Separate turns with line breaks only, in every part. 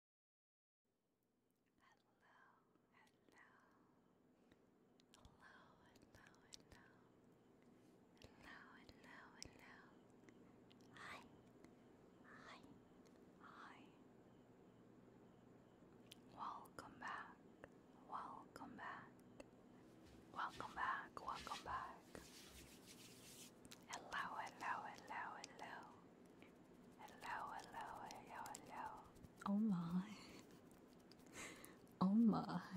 Hello, hello, hello, hello, hello, hello, hello, hello. Hi, hi, hi. Welcome back, welcome back, welcome back, welcome back. Hello, hello, hello,
hello. Hello, hello, hello, hello. Oh my. Oh my. Hi.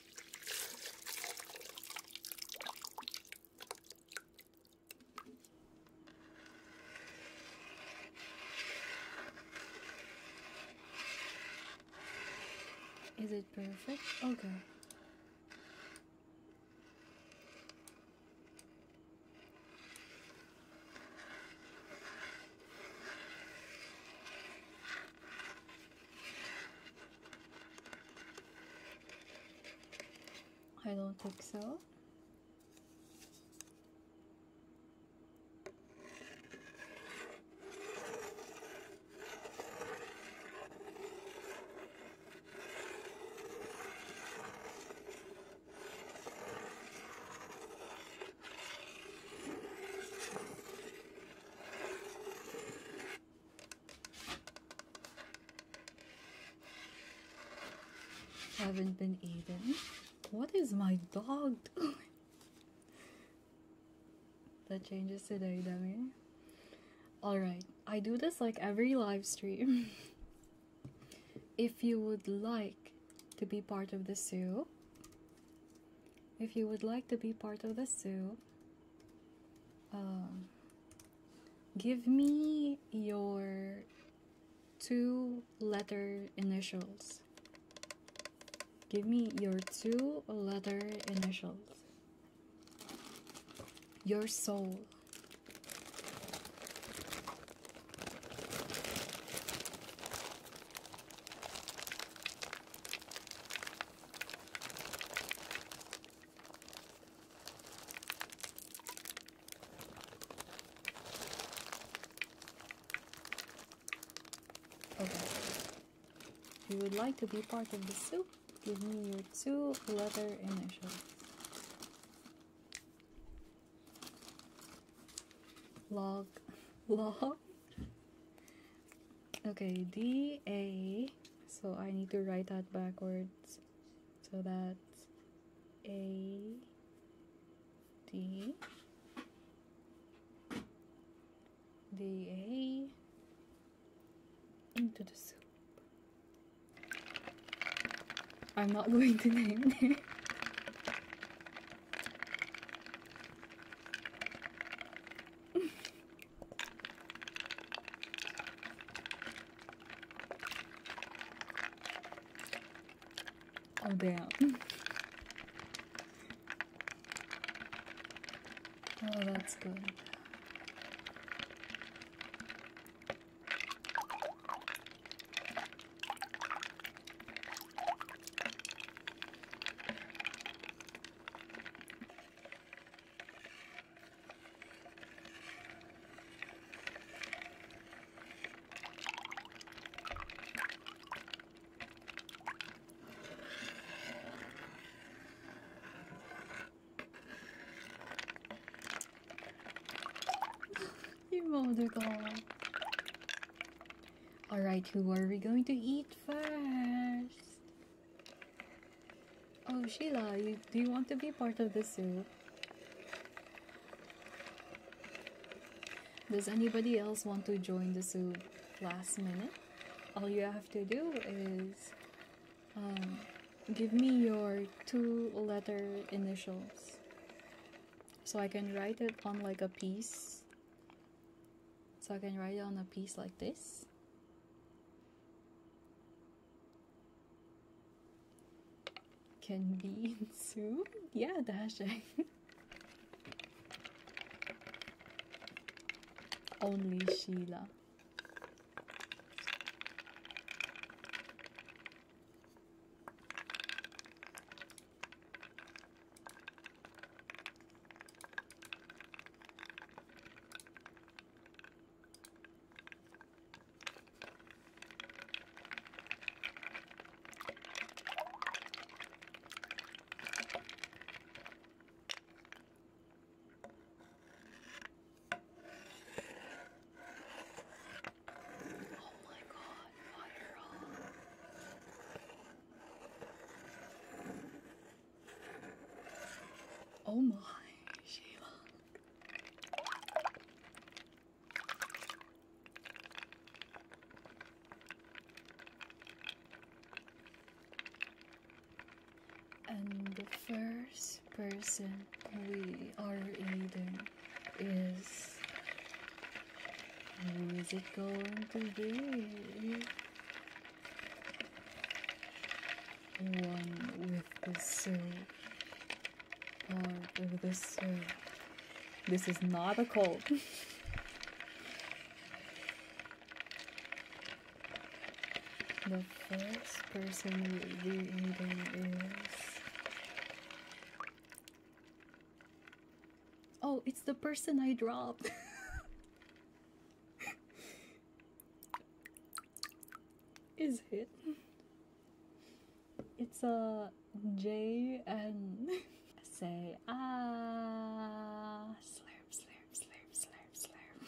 Is it perfect? Okay. I don't think so. Haven't been eating. What is my dog doing? that changes today, dummy. Alright, I do this like every live stream. if you would like to be part of the zoo, if you would like to be part of the zoo, um, give me your two letter initials. Give me your two letter initials. Your soul. If you would like to be part of the soup, give me your two leather initials. Log. Log. Okay, D A. So I need to write that backwards. So that A D D A into the soup. I'm not going to name it. Oh damn.
Oh, that's good.
Alright, who are we going to eat first? Oh, Sheila, do you want to be part of the soup? Does anybody else want to join the soup? last minute? All you have to do is um, give me your two letter initials so I can write it on like a piece. So I can write on a piece like this. Can be soon? Yeah, dashing. Only Sheila. Oh my god, fire on. Oh my, Sheila. And the first person we are eating is. Who is it going to be? one with the soul, part of the soul. This is not a cold. the first person we will is. Oh, it's the person I dropped. Is it? It's a J and say ah
slurp slurp slurp slurp slurp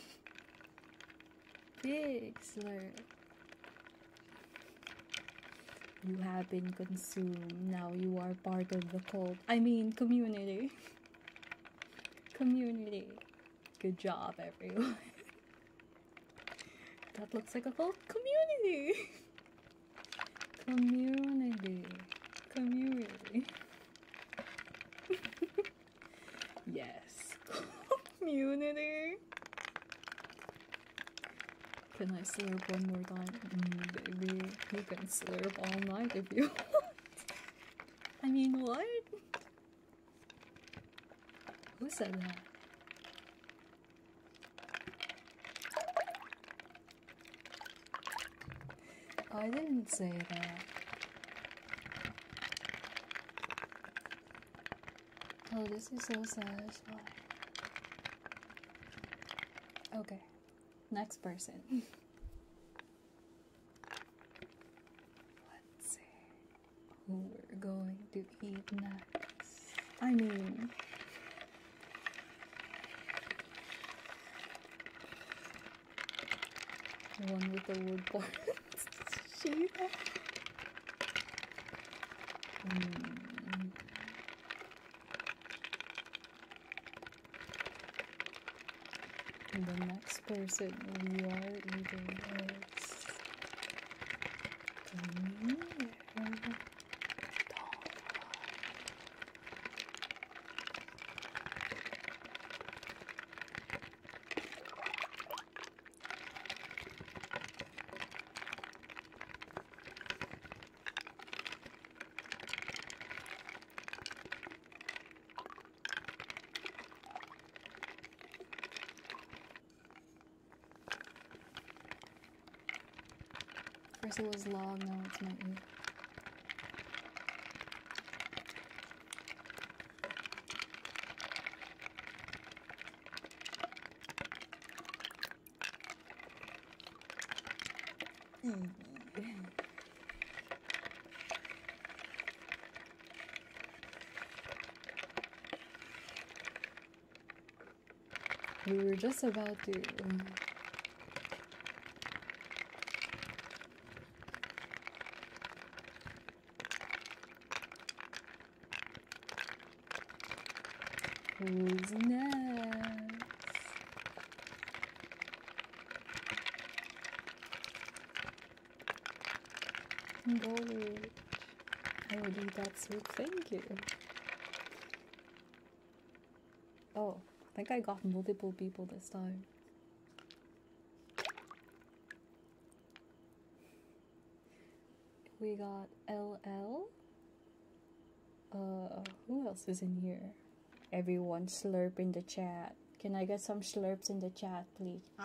big slurp. You have been consumed. Now you are part of the cult. I mean community. Community. Good job, everyone. that looks like a whole community. community. Community. yes. community. Can I slurp one more time? Mm, baby, you can slurp all night if you want. I mean, what? Who said that? Oh, I didn't say that. Oh, this is so satisfying. Okay, next person. Let's see who we're going to eat next. I mean, the one with the wood parts. she.
Mm the next
person we are eating is
the
First it was log, now it's
mountain.
We were just about to.
Who's next?
Gold. Oh, I will eat that soup, thank you. Oh, I think I got multiple people this time. We got LL. Uh, who else is in here? Everyone slurp in the chat. Can I get some slurps in the chat, please? Eat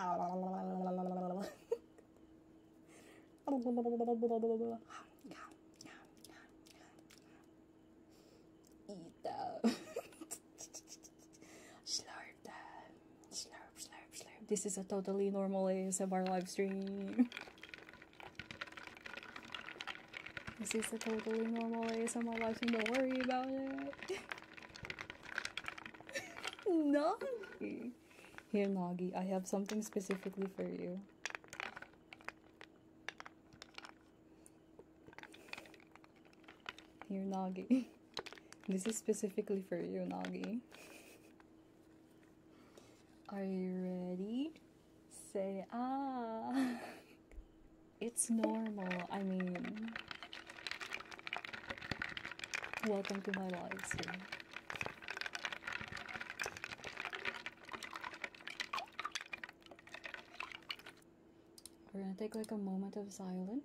them. slurp them. Slurp, slurp, slurp. This is a
totally normal ASMR live stream. This is a totally normal ASMR live stream. Don't worry about it. Noggy, Here, Noggy. I have something specifically for you. Here, Noggy. This is specifically for you, Noggy. Are you ready? Say ah. it's normal. I mean, welcome to my life. Yeah. We're gonna take like a moment of silence.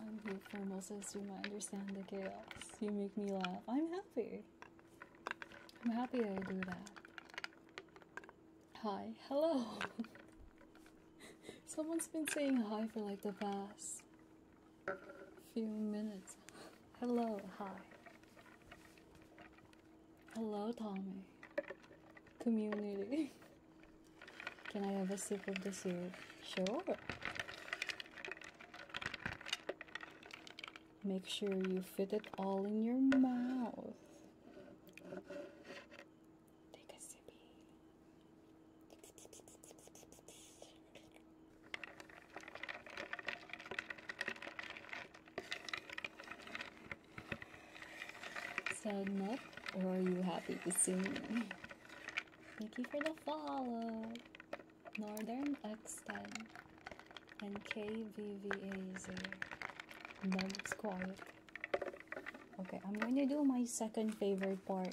I'm here for most Moses. You might understand the chaos. You make me laugh. I'm happy. I'm happy I do that. Hi. Hello. Someone's been saying hi for like the past few minutes. Hello, hi. Hello, Tommy. Community. Can I have a sip of the syrup? Sure. Make sure you fit it all in your mouth. Take a sippy. Sound up, or are you happy to see me? Thank you for the follow. Northern Extend and KVVAZ. it's quiet. Okay, I'm going to do my second favorite part.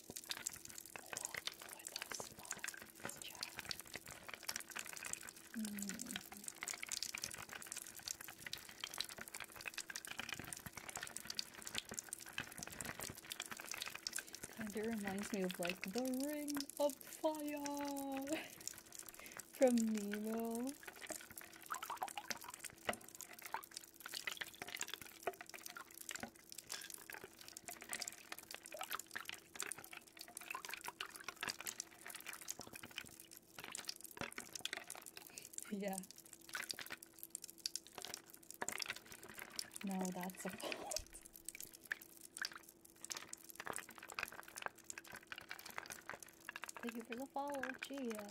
Kind of reminds me of like the Ring of Fire from Nemo yeah. No, that's a fault. Thank you for the follow, Gia.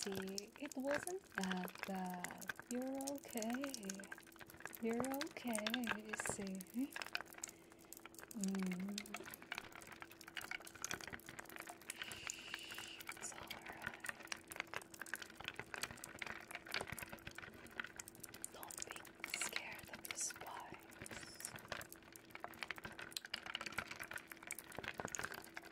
See, it wasn't not bad. You're okay. You're okay. See? Mm. It's all
right. Don't be scared of the
spiders.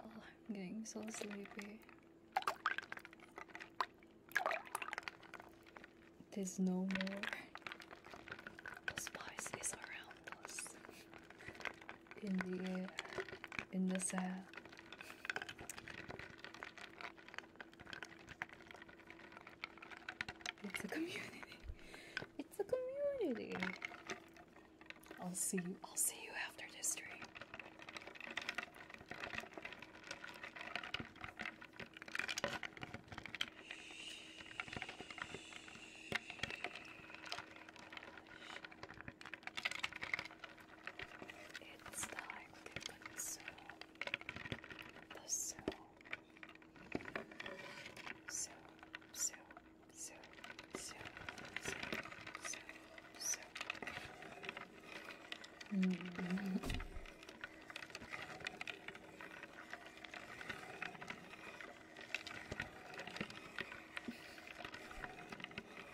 Oh, I'm getting so sleepy. There's no more. The around us in the air, in the sand. It's a community. It's a community. I'll see you. I'll see you after this stream.
It's like the pencil, the soul, so, so,
so, so, so, so, so. Mm -hmm.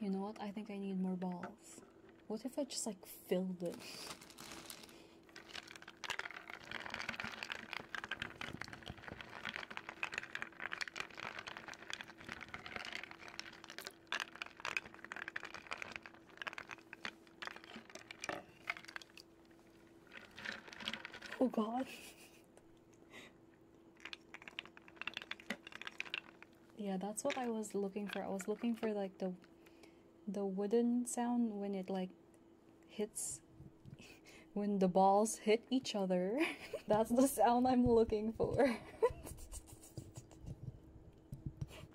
You know what? I think I need more balls. What if I just like filled it? Oh god. yeah, that's what I was looking for. I was looking for like the the wooden sound when it like hits when the balls hit each other. that's the sound I'm looking for.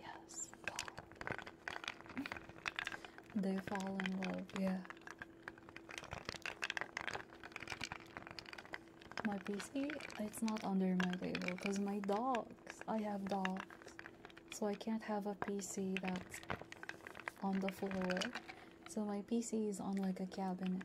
Yes, They fall in love, yeah. My PC, it's not under my table because my dogs, I have dogs. So I can't have a PC that's on the floor. So my PC is on like a cabinet.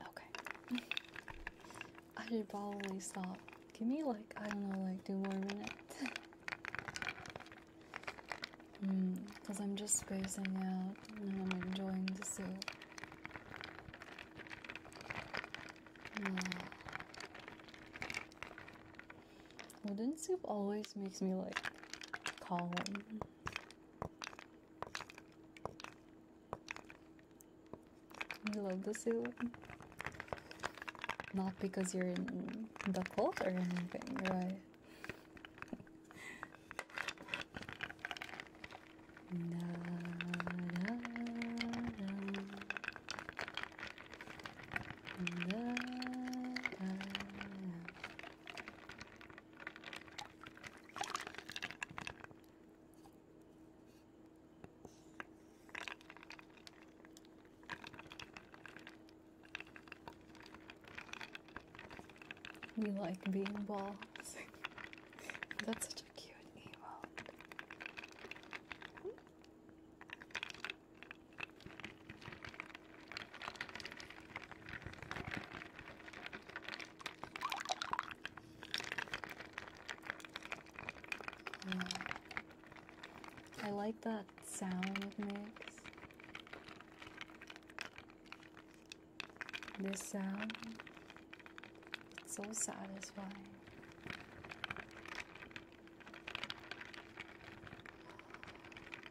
Okay. I should probably stop. Give me like, I don't know, like do more minutes. mm, Cause I'm just spacing out and I'm enjoying the soup. Mm. Wooden soup always makes me like calm. I love the zoo? Not because you're in the cult or anything, right? We like being balls. That's such a cute emote. I like that sound it makes. This sound, it's so satisfying.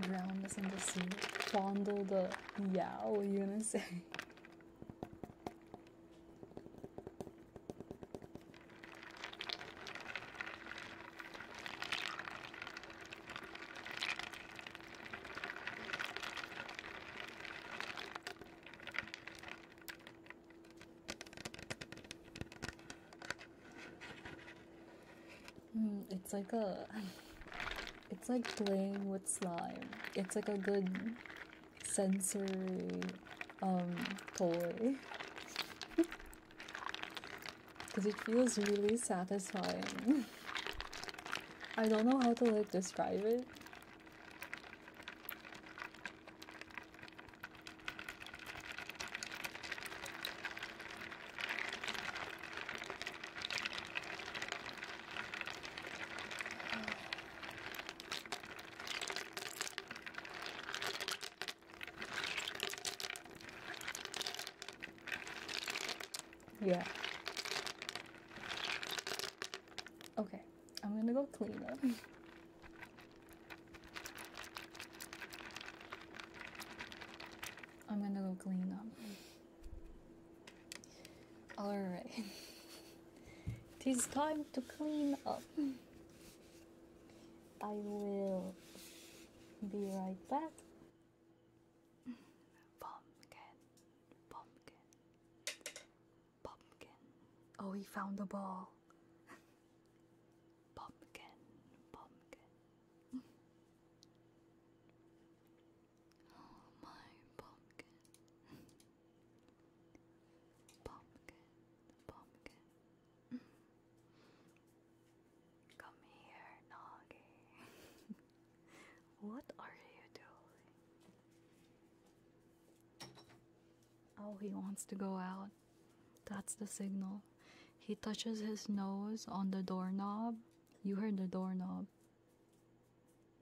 Drown us in the sea, fondle the yow, you gonna say? Mm, it's like a. It's like playing with slime. It's like a good sensory um, toy. Because it feels really satisfying. I don't know how to like describe it. Yeah. Okay, I'm gonna go clean up. I'm gonna go clean up. Alright. it is time to clean up. I will be right back. Pumpkin. Pumpkin. Pumpkin. Oh, he found the
ball. Pumpkin, pumpkin. oh, my pumpkin. pumpkin, pumpkin. Come here, Noggy. what are you doing?
Oh, he wants to go out. That's the signal. He touches his nose on the doorknob. You heard the doorknob.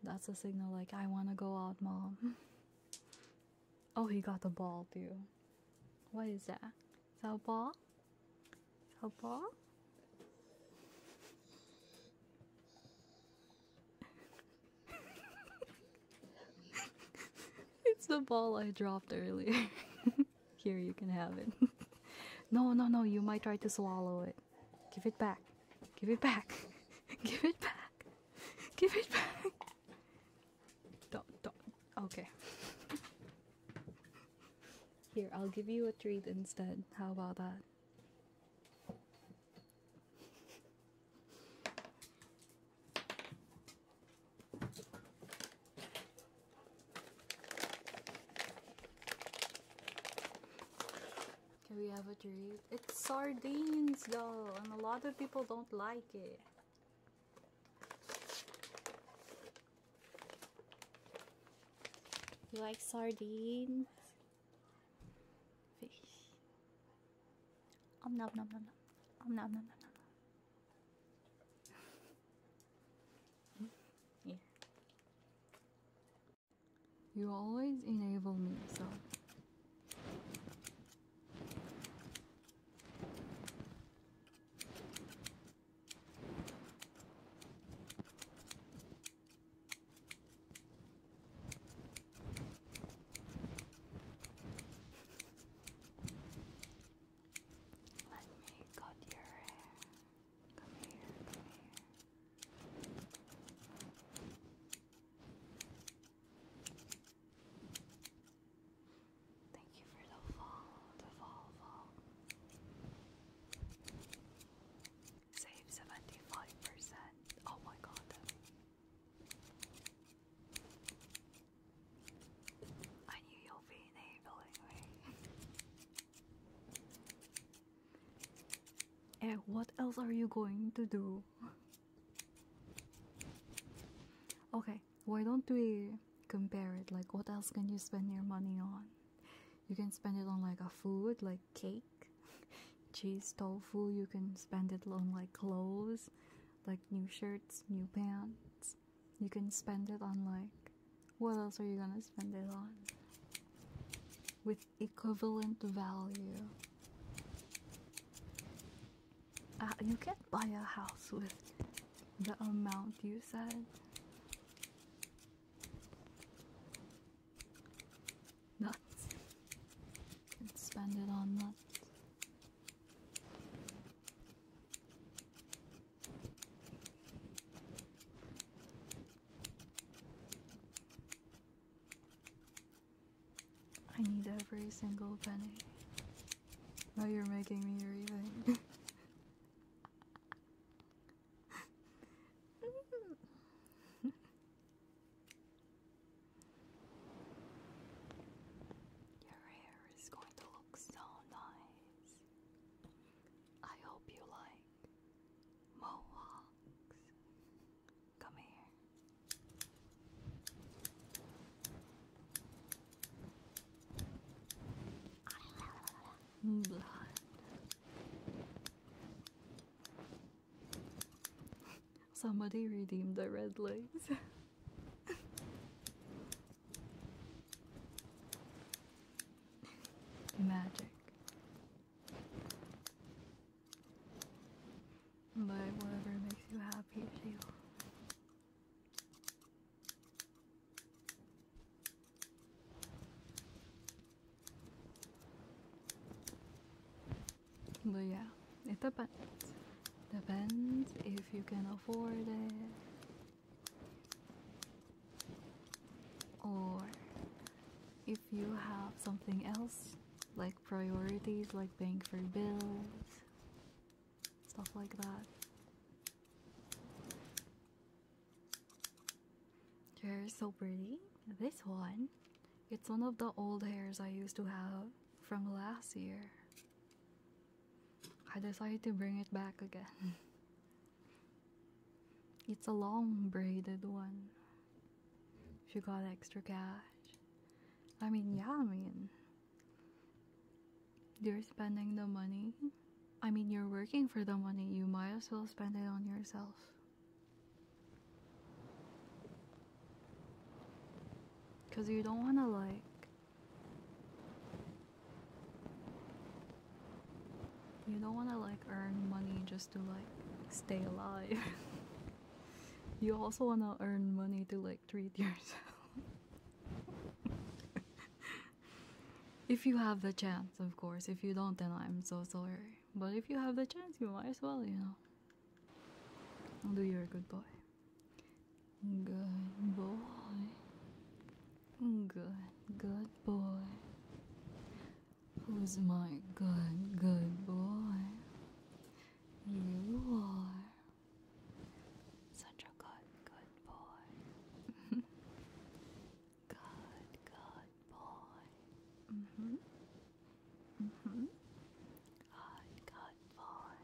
That's a signal like, I want to go out, mom. oh, he got the ball, too. What is that? Is that The ball? The ball? it's the ball I dropped earlier. Here, you can have it. no, no, no, you might try to swallow it. Give it back. Give it back. Give it back. Give it back. Don't, don't. Okay. Here, I'll give you a treat instead. How about that? Can we have a treat? It's sardines, though, and a lot of people don't like it. You like sardines?
Fish. Om nom nom nom nom. Om
you always enable me, so.
Let me cut your hair. Come here, come here. Thank you for the fall, the fall, fall. Save 75%. Oh my god. I knew
you'll be in April what else are you going to do? okay, why don't we compare it? Like, what else can you spend your money on? You can spend it on like a food, like cake, cheese, tofu. You can spend it on like clothes, like new shirts, new pants. You can spend it on like what else are you gonna spend it on? With equivalent value. Uh, you can't buy a house with the amount you said. Nuts. You can spend it on nuts. I need every single penny. Now you're making me rethink.
hair going to look so nice. I hope you like mohawks. Come here.
Somebody redeemed the red lights. Magic. But whatever makes you happy, Sheila. But yeah, a depends. Depends if you can afford it. Or if you have something else, like priorities, like paying for bills, stuff like that. Hair are so pretty. This one, it's one of the old hairs I used to have from last year. I decided to bring it back again. it's a long braided one. If you got extra cash. I mean, yeah, I mean, you're spending the money. I mean, you're working for the money. You might as well spend it on yourself. Because you don't want to, like, you don't want to like earn money just to like stay alive. you also want to earn money to like treat yourself. if you have the chance, of course. If you don't, then I'm so sorry. But if you have the chance, you might as well, you know. Do your good boy. Good boy. Good, good boy. Who's my good, good boy? You
are such a good, good boy.
good, good boy. hmm. hmm.
Good, good boy.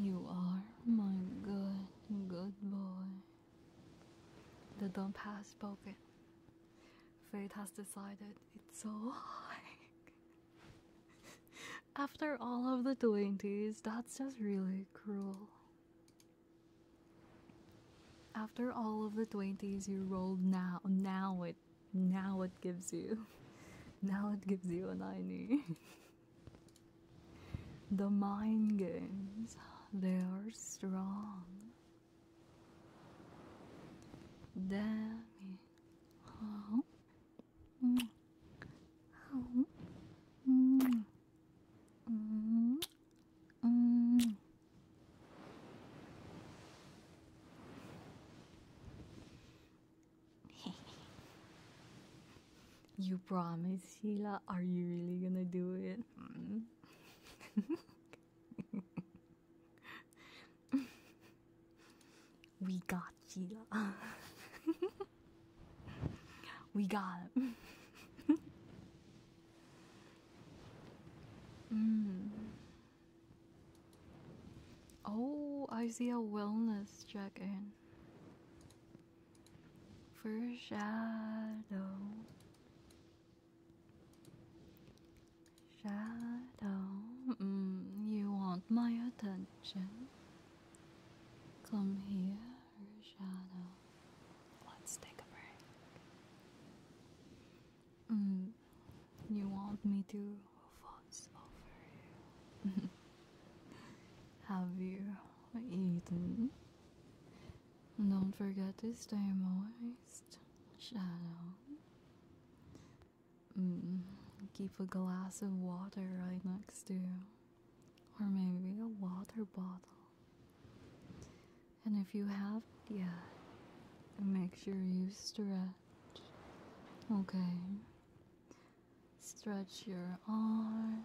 You are my good, good boy. The dump has spoken. Fate has decided it's so high. After all of the 20s, that's just really cruel. After all of the 20s you rolled now, now it now it gives you. Now it gives you an I need. The mind games, they are strong.
Danny. Oh. Mm. Oh. Mm. Mm
you promise, Sheila? Are you really gonna do it? Hmm. we got Sheila. we got him. Hmm. Oh, I see a wellness check in shadow shadow mm, you want my attention come here shadow
let's take a break
mm, you want me to Have you eaten? Don't forget to stay moist, Shadow. Mm, keep a glass of water right next to you, or maybe a water bottle. And if you haven't yet, make sure you stretch. Okay. Stretch your arms,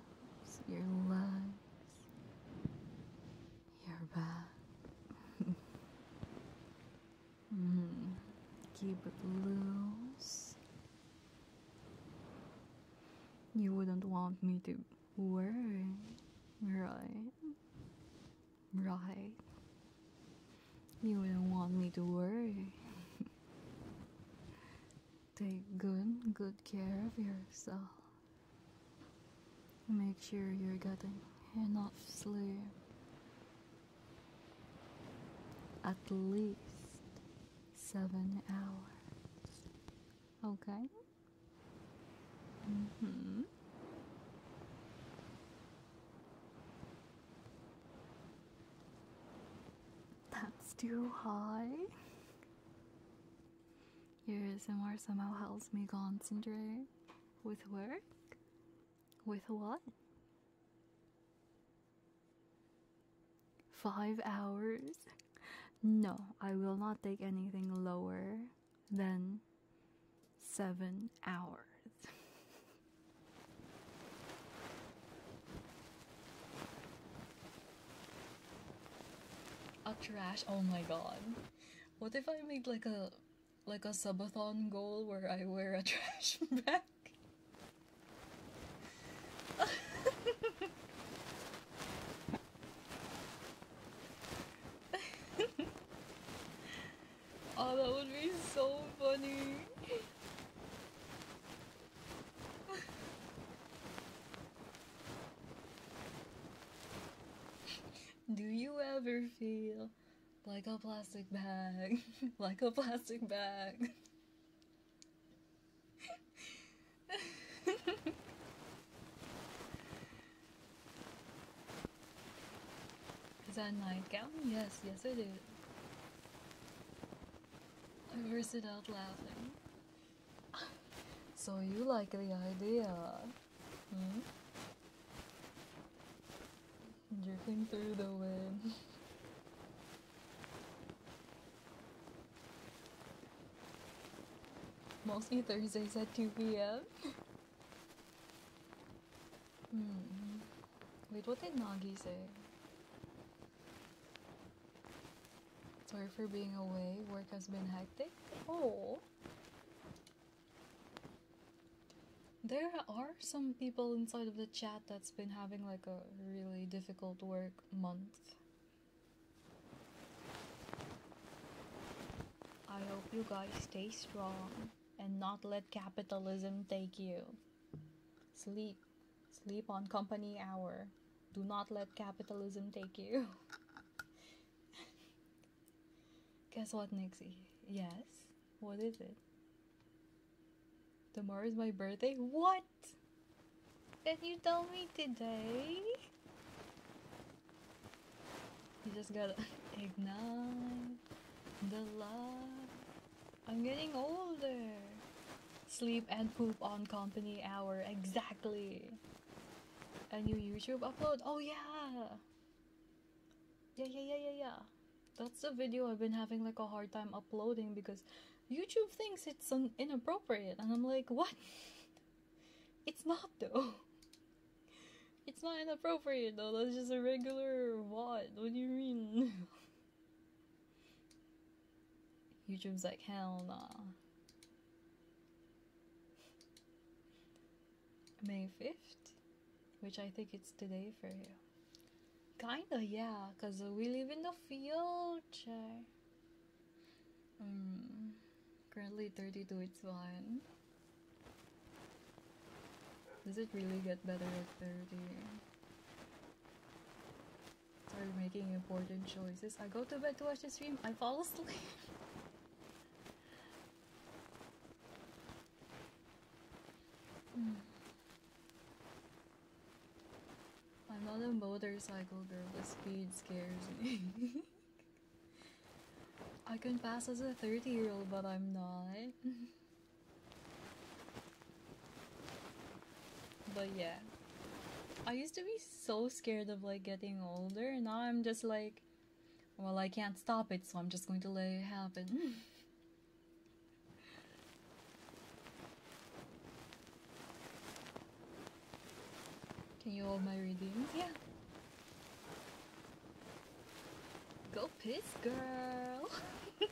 your legs, your back. mm. Keep it loose. You wouldn't want me to worry, right? Right. You wouldn't want me to worry. Take good, good care of yourself. Make sure you're getting enough sleep. At least seven hours. Okay? Mm
hmm. That's too high.
Your ASMR somehow helps me concentrate. With work? With what? Five hours? No, I will not take anything lower than seven hours. A trash, oh my god. What if I make like a like a subathon goal where I wear a trash bag? oh, that would be so funny. Do you ever feel like a plastic bag? like a plastic bag? Is that nightgown? Yes, yes I do. I bursted out laughing. so you like the idea? Hmm? Drifting through the wind. Mostly Thursdays at 2 p.m. mm. Wait, what did Nagi say? Sorry for being away. Work has been hectic. Oh. There are some people inside of the chat that's been having like a really difficult work month. I hope you guys stay strong and not let capitalism take you. Sleep sleep on company hour. Do not let capitalism take you. Guess what, Nixie? Yes. What is it? Tomorrow is my birthday? What? Did you tell me today? You just gotta ignite the love I'm getting older. Sleep and poop on company hour, exactly. A new YouTube upload? Oh yeah! Yeah, yeah, yeah, yeah, yeah. That's a video I've been having like a hard time uploading because YouTube thinks it's an inappropriate and I'm like, what? It's not though. It's not inappropriate though, that's just a regular what? What do you mean? YouTube's like, hell nah. May 5th? Which I think it's today for you. Kinda, yeah, because we live in the future. Mm, currently 32, it's one. Does it really get better at 30? Start making important choices. I go to bed to watch the stream, I fall asleep. I'm not a motorcycle girl, the speed scares me. I can pass as a 30 year old, but I'm not. But yeah. I used to be so scared of like getting older. Now I'm just like, well, I can't stop it, so I'm just going to let it happen. Can you hold my reading? Yeah. Go piss, girl!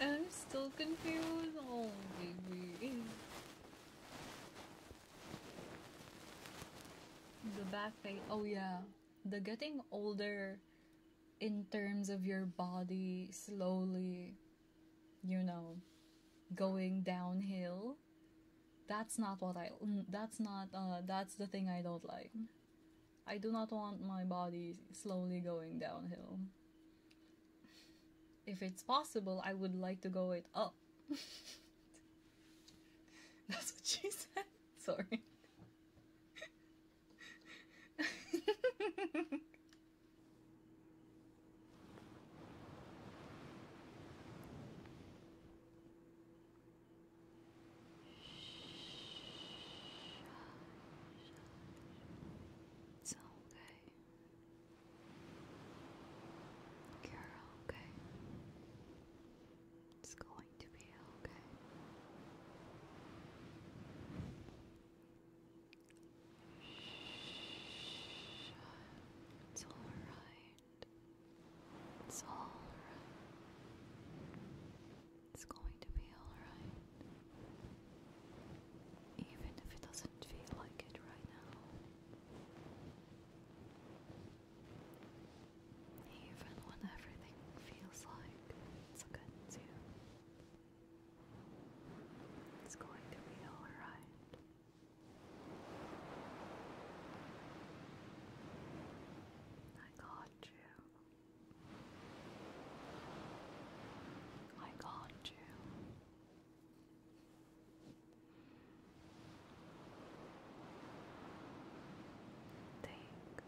I'm still confused. Oh, baby. The back pain. Oh, yeah. The getting older in terms of your body slowly, you know, going downhill. That's not what I. That's not. Uh, that's the thing I don't like. I do not want my body slowly going downhill. If it's possible, I would like to go it up. That's what she said.
Sorry. It's okay. you
okay. It's going to be okay. Shh. It's all right. It's all right. It's going to be alright. Even if it doesn't feel like it right now. Even when everything feels like it's against you. It's going to be alright. I got you. I got you. Take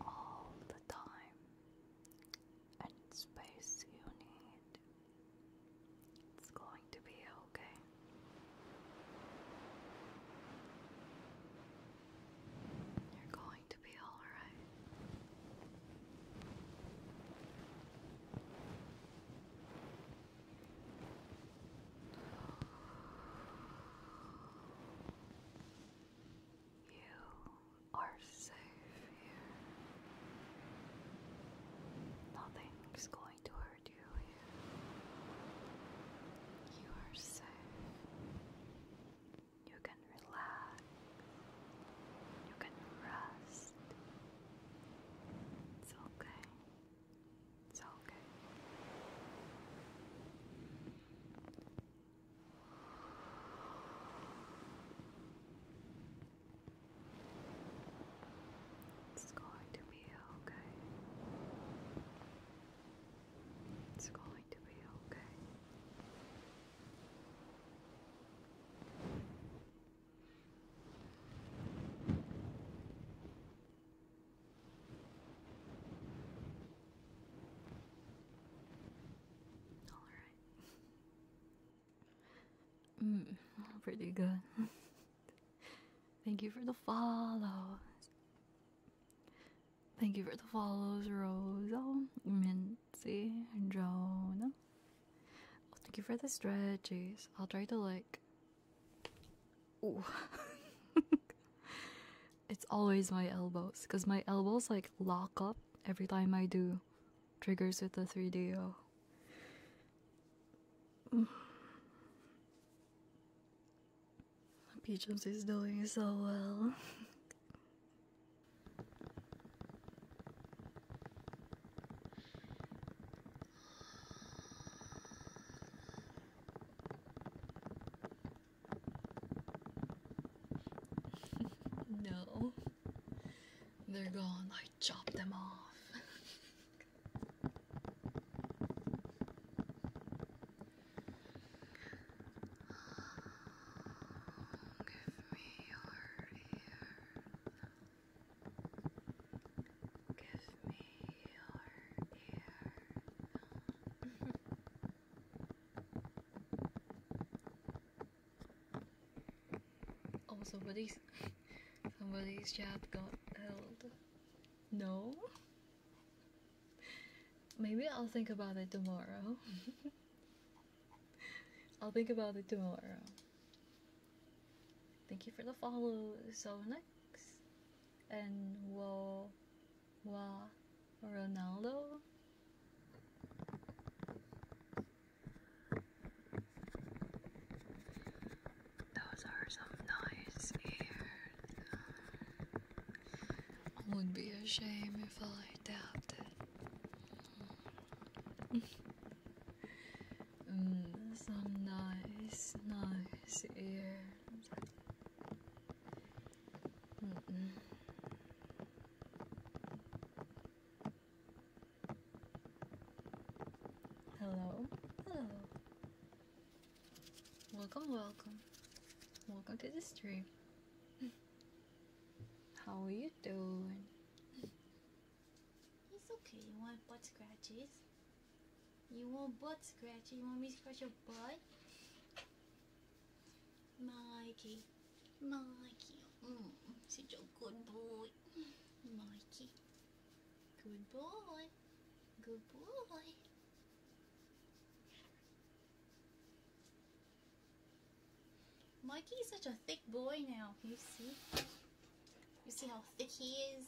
all the time and space you need. It's going to be okay. You're going to be all right. You are safe here. Nothing's going to hurt you here. You are safe. You can relax. You can rest. It's okay. It's okay. It's going to be okay. It's going
to be okay. All right. Mm, pretty good. Thank you for the follow. Thank you for the follows, Rosal, Mincy, Jonah. Oh, thank you for the stretches. I'll try to like. it's always my elbows, because my elbows like lock up every time I do triggers with the 3DO. Peaches is doing so well.
no, they're gone. I chopped them off. Oh, give me your ear.
Give me your ear. oh, somebody's somebody's job got held. No. Maybe I'll think about it tomorrow. I'll think about it tomorrow. Thank you for the follow, So next, and Wo Wa
Ronaldo. Those are some nice ears
would be a shame if I doubted. Mm, some nice, nice ears. Hello, hello. Welcome, welcome. Welcome to the stream. How are you doing? It's okay. You want butt scratches? You want butt scratches? You want me to scratch your butt? Mikey. Mikey. Mm, such a good boy. Mikey. Good boy. Good boy. Mikey's such a thick boy now. you see? You see how thick he is?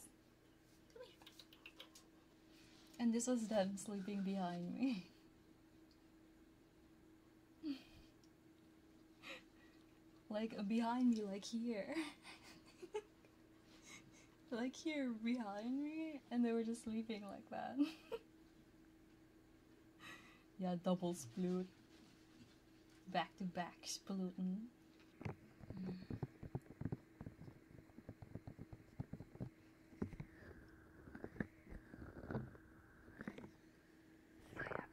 And this was them sleeping behind me. like behind me, like here. like here behind me, and they were just sleeping like that. yeah, doubles sploot. Back to back splooting. Mm. I have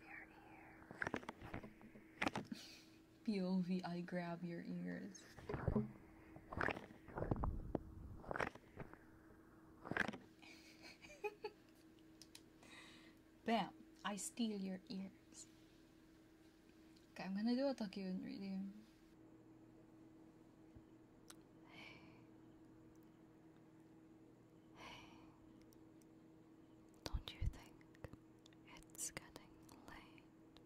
your ear. POV, I grab your ears. Bam! I steal your ears. Okay, I'm gonna do a Tokyo radio. Don't you think
it's getting late?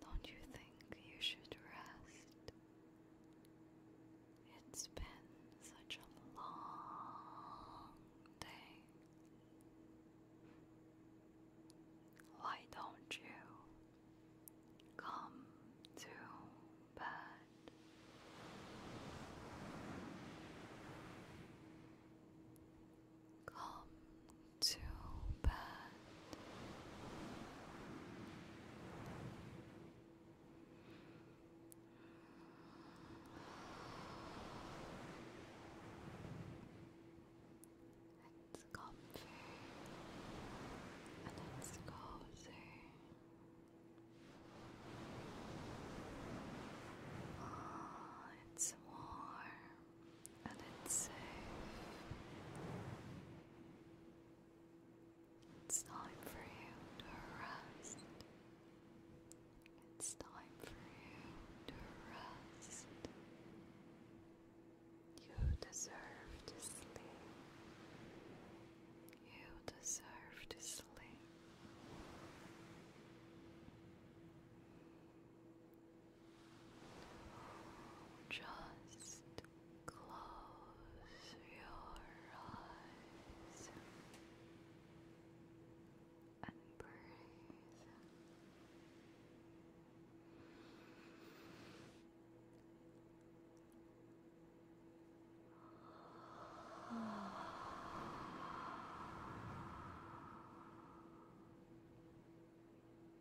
Don't you think you should rest? It's been such a long day. Why don't you come to bed? Come to bed. Let's and let cozy. Oh, it's warm and it's safe. It's time for you to rest. It's time for you to rest. You deserve to sleep. You deserve to sleep. Just Close your eyes and breathe.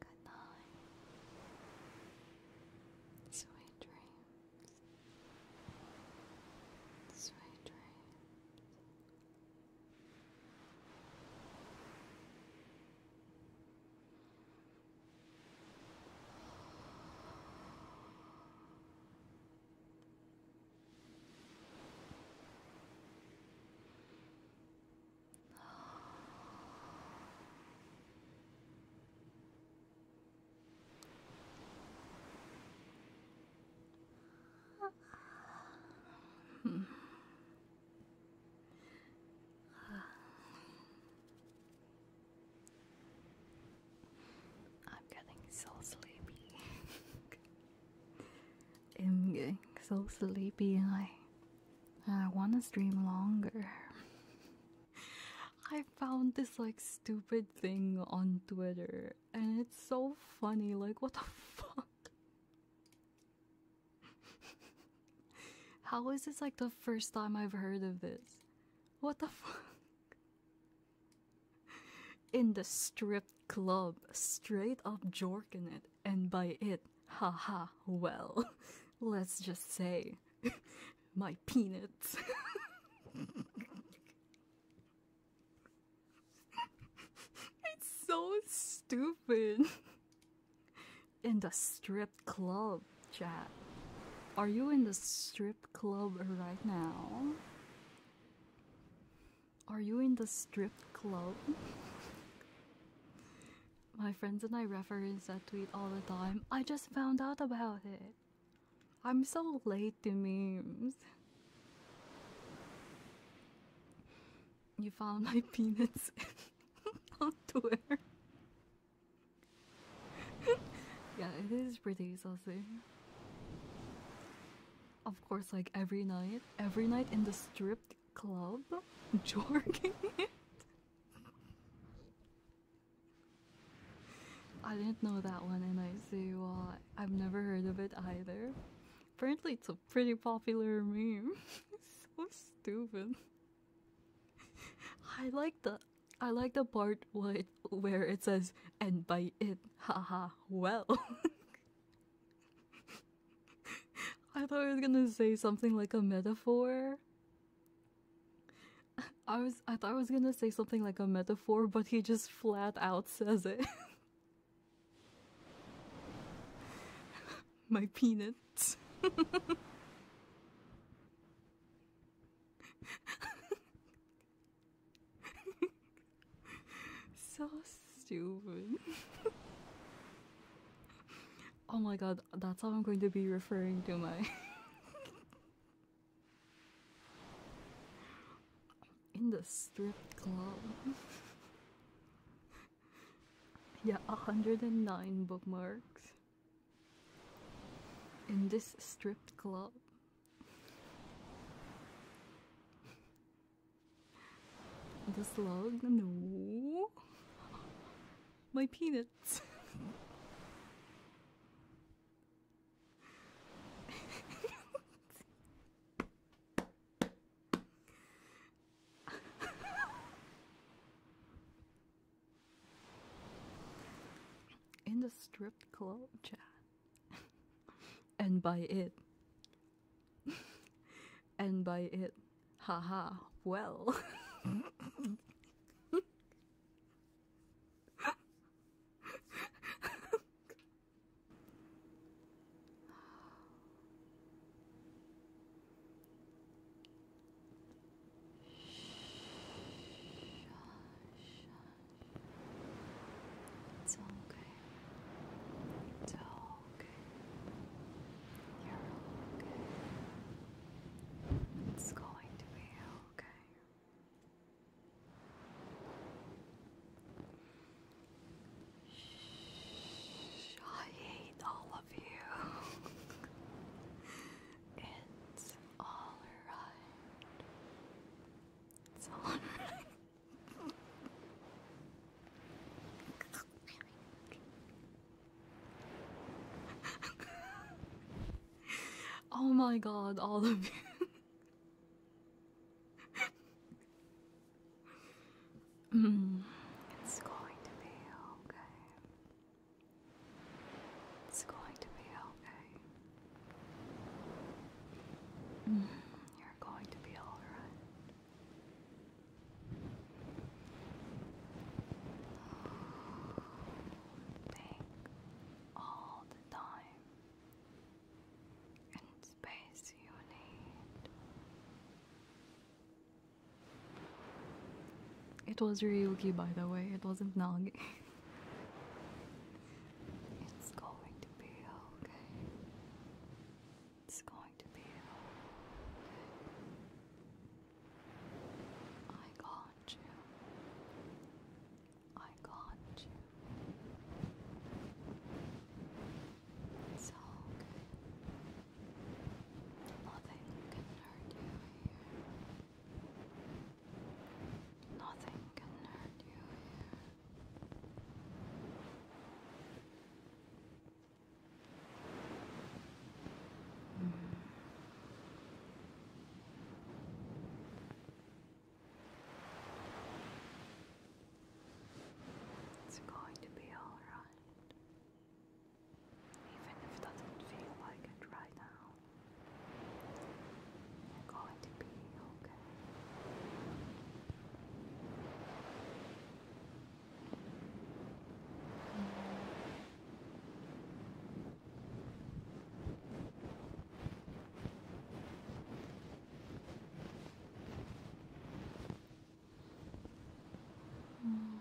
Good night. Sweet dreams. Sweet dreams. I'm getting so sleepy.
I'm getting so sleepy. I I wanna stream longer. I found this like stupid thing on Twitter and it's so funny. Like, what the fuck? How is this like the first time I've heard of this? What the fuck? In the strip club, straight up jorking it and by it, ha ha. well, let's just say my peanuts. it's so stupid. In the strip club, chat. Are you in the strip club right now? Are you in the strip club? My friends and I reference that tweet all the time. I just found out about it. I'm so late to memes. You found my peanuts on Twitter. yeah, it is pretty saucy. Of course, like every night, every night in the strip, club jorking it. I didn't know that one, and I see well, I've never heard of it either. Apparently, it's a pretty popular meme. so stupid. I like the I like the part where it says and by it haha well I thought I was gonna say something like a metaphor. I was I thought I was gonna say something like a metaphor, but he just flat out says it. My peanuts. so stupid. Oh my god, that's how I'm going to be referring to my. In the strip club. yeah, 109 bookmarks. In this strip club. The slug? No. My peanuts. In the strip club chat. and by it, and by it, haha, well.
It's okay. It's okay okay. You're okay. It's going to be okay. Shh, I hate all of you. it's all right. It's all right.
oh my god, all of you.
Hmm. it's going to be okay.
It's going to be okay. Hmm, you're going to be alright.
It was Ryuki, by the way, it wasn't Nagi. it's going to be okay it's going to be okay.
I got you. I got you. It's all good. Nothing can hurt you here. Nothing can hurt you here. It's going to be all right, even if it doesn't feel like it right now. you going to be okay.
Oh. Mm.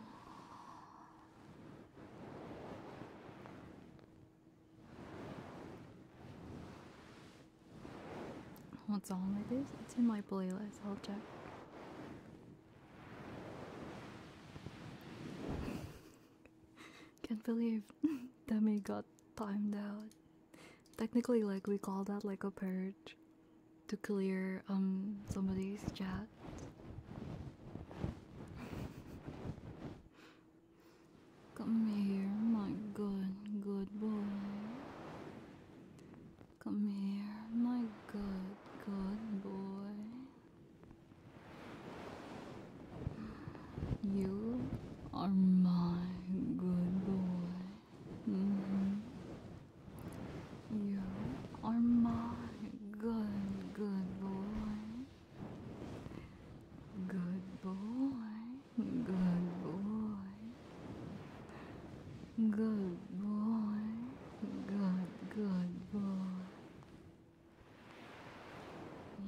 What song this? It's in my playlist. I'll check. Can't believe Demi got timed out. Technically, like we call that like a purge to clear um somebody's chat. Come here, my good, good boy. Come here, my good, good boy. You are my good boy. Mm-hmm. You are my good, good boy. Good boy, good boy. Good boy. Good, good boy.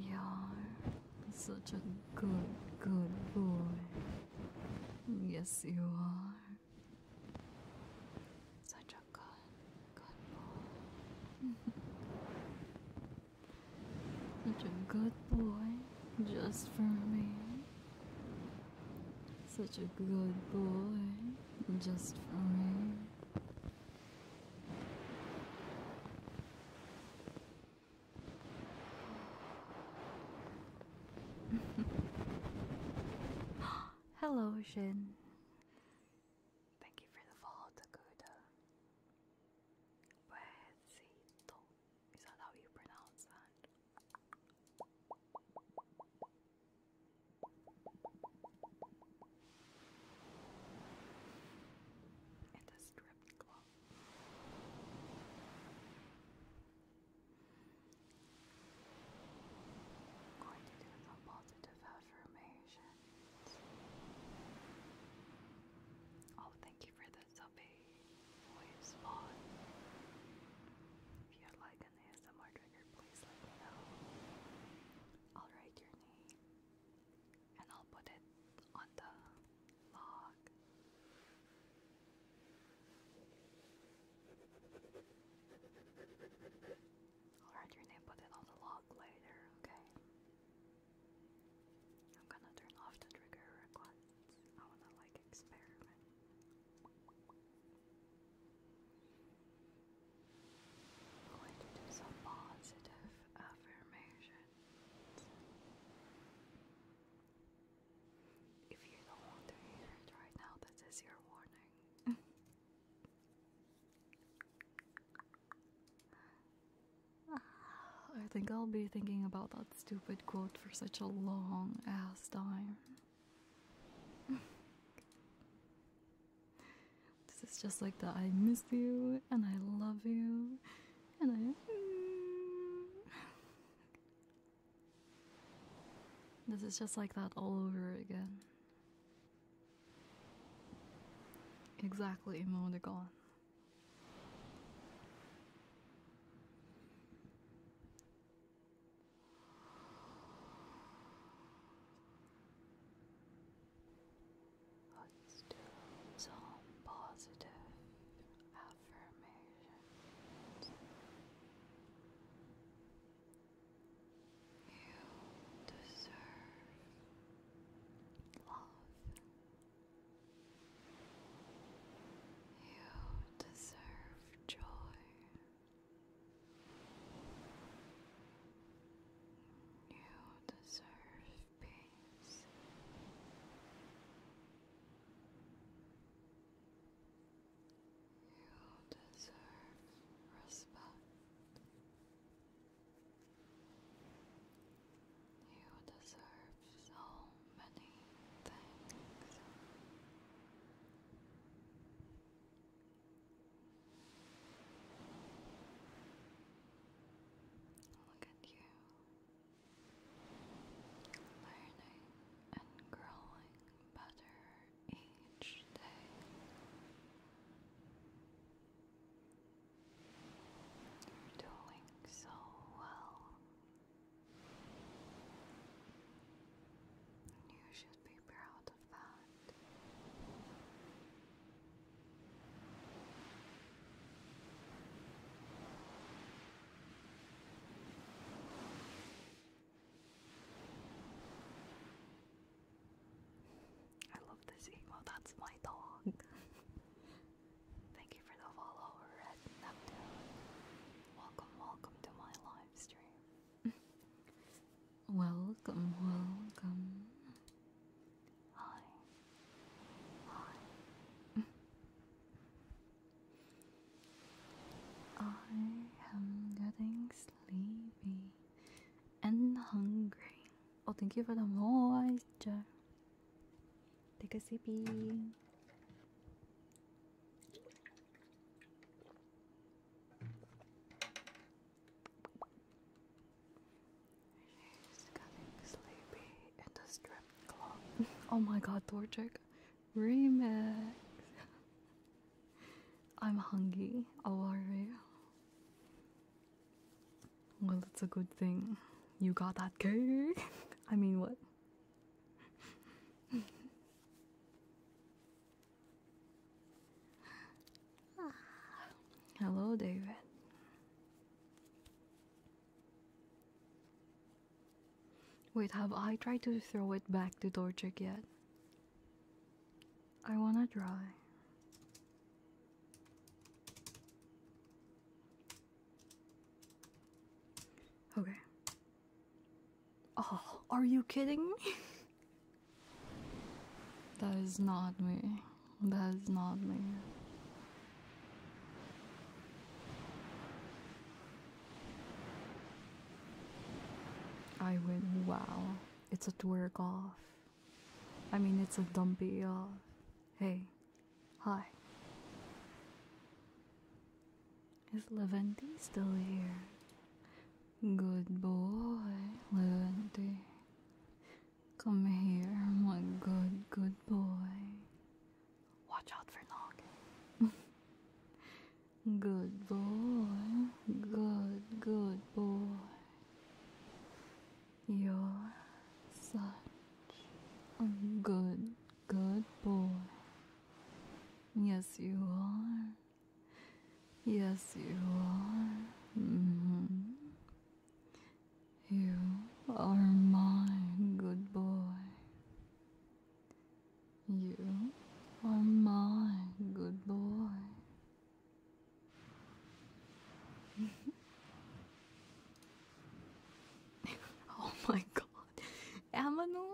You're such a good, good boy. Yes, you are. Such a good, good boy. such a good boy just for me. Such a good boy just fine. Hello, Shin. Thank you for the follow,
Takuda. Is that how you pronounce that? and a strip club. going to do the positive affirmations. Oh, thank you for the subby. Wave spot. If you like like an ASMR trigger, please let me know. I'll write your name and I'll put it on the log. I'll write your name, put it on the log later, okay? I'm gonna turn off the trigger I wanna like experiment. I'm going to do some positive affirmations. If you don't want to hear it right now, this your warning.
I think I'll be thinking about that stupid quote for such a long ass time this is just like that. I miss you and I love you and this is just like that all over again. Exactly, emoticon.
Let's do some positive affirmations. You deserve love. You deserve joy. You deserve peace. You deserve respect. You deserve so many things. Look at you learning and growing better each day. You're doing so well. You should be proud I love this emo, that's my dog. Thank you for the follow, Red Neptune. Welcome, welcome to my live
Welcome, welcome. Hi. Hi.
I am getting sleepy and hungry. Oh, thank you for the moisture. Take a sip. oh my god, Dorchik. Remix. I'm hungry. How are you? Well, it's a good thing you got that cake. I mean, what? Hello, David. Wait, have I tried to throw it back to Dorchik yet? I wanna try. Okay. Oh, are you kidding me? that is not me. That is not me. I win. Wow. It's a twerk off. I mean, it's a dumpy off. Hey. Hi. Is Leventi still here? Good boy, little Levante. Come here, my good, good boy. Watch out for Nog. good boy, good, good boy. You're such a good, good boy. Yes, you are. Yes, you are. Mm-hmm. You are my good boy. You are my good boy. oh my god. Amano.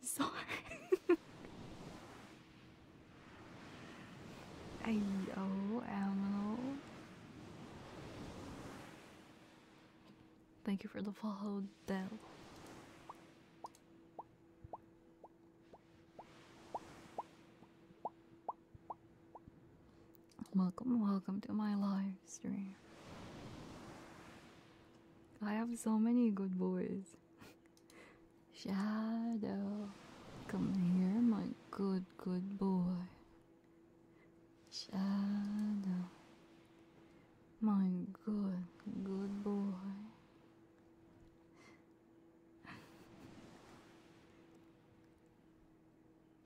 Sorry. I know, Amel. Thank you for the follow, Dell. Welcome, welcome to my live stream. I have so many good boys. Shadow, come here, my good, good boy. Shadow, my good, good boy.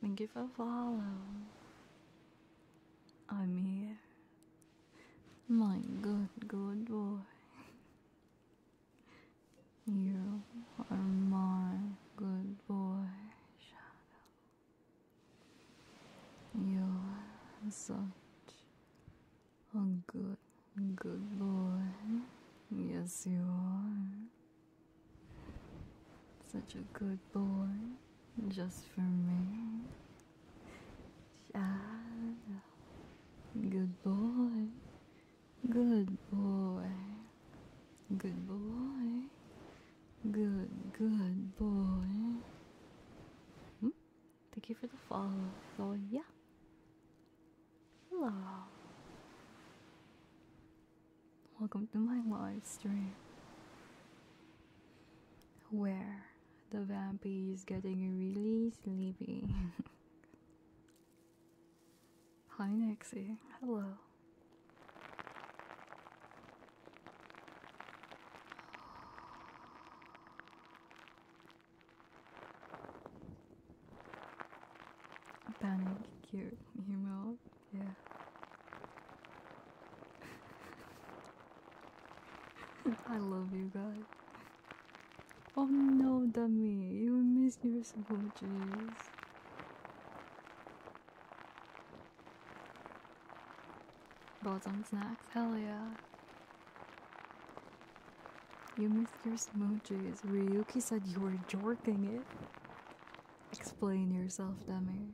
And give a follow. I'm here. My good, good boy. You are my good boy, Shadow. You are such a good, good boy. Yes, you are. Such a good boy, just for me. Shadow. Good boy. Good boy. Good boy. Good, good boy. Hmm? Thank you for the follow, Yeah. Hello. Welcome to my live stream. Where the vampy is getting really sleepy. Hi Nixie, hello. Panic, cute, email, yeah. I love you guys. Oh no, dummy, you miss your smooches. Balls on snacks? Hell yeah. You missed your smooches. Ryuki said you were jorking it. Explain yourself, dummy.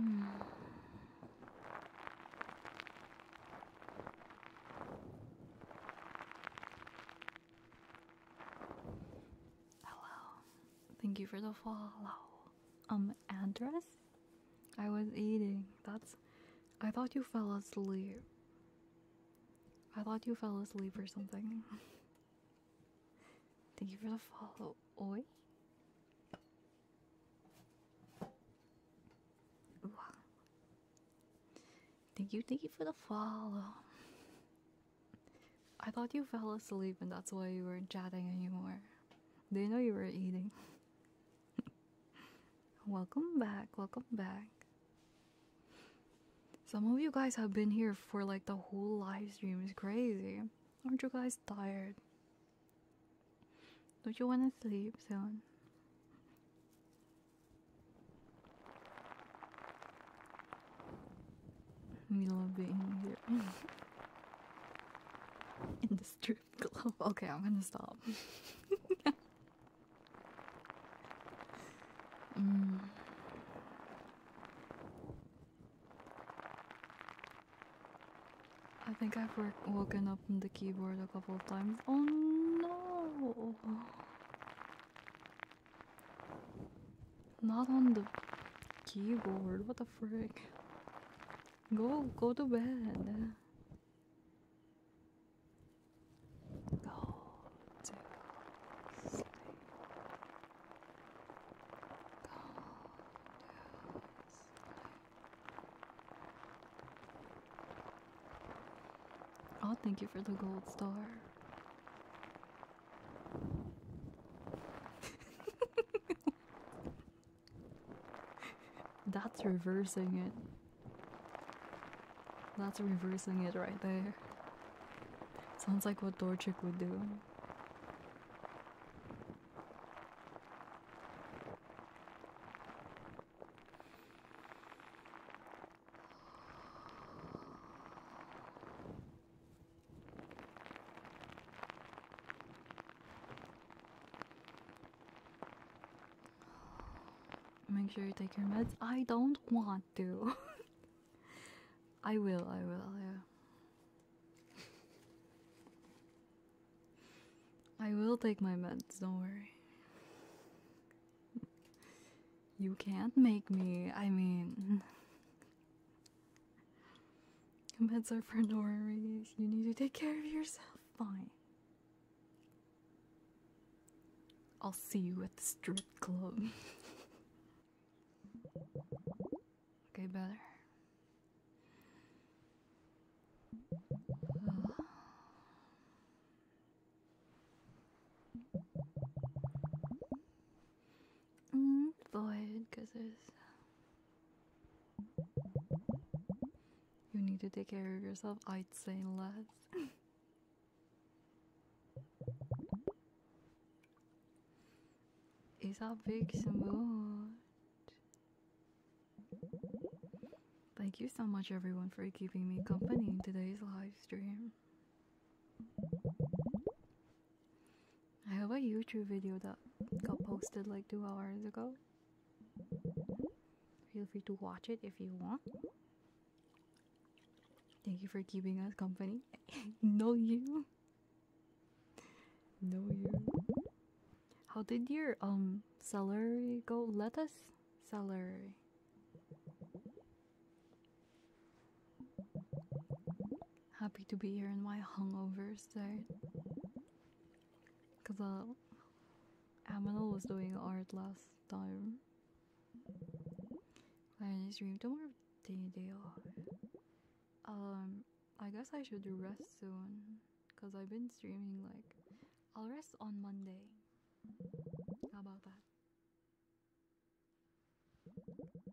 Hello, hmm. oh, Thank you for the follow. Um, address? I was eating. That's. I thought you fell asleep. I thought you fell asleep or something.
Thank you for the follow. Oi. Thank you, thank you for the follow.
I thought you fell asleep and that's why you weren't chatting anymore. Do you know you were eating? welcome back, welcome back. Some of you guys have been here for like the whole live stream. It's crazy. Aren't you guys tired? Don't you want to sleep soon? We love being here. In the strip club. Okay, I'm gonna stop.
Mm.
I think I've woken up on the keyboard a couple of times. Oh no! Not on the keyboard. What the frick? Go, go to bed.
Go to sleep. Go
Oh, thank you for the gold star. That's reversing it. That's reversing it right there. Sounds like what Dorchick would do. Make sure you take your meds. I don't want to. I will, I will, yeah. I will take my meds, don't worry. you can't make me, I mean, Meds are for normies. You need to take care of yourself. Fine. I'll see you at the strip club. okay, better mm, void because there's you need to take care of yourself i'd say less It's a big smooth thank you so much everyone for keeping me company in today's live stream I have a YouTube video that got posted like two hours ago. Feel free to watch it if you want. Thank you for keeping us company. no, you. No, you. How did your um celery go? Lettuce, celery happy to be here in my hungover state. Because uh, Aminal was doing art last time. I When I streamed, don't worry, Um, I guess I should rest soon. Because I've been streaming like. I'll rest on Monday.
How about that?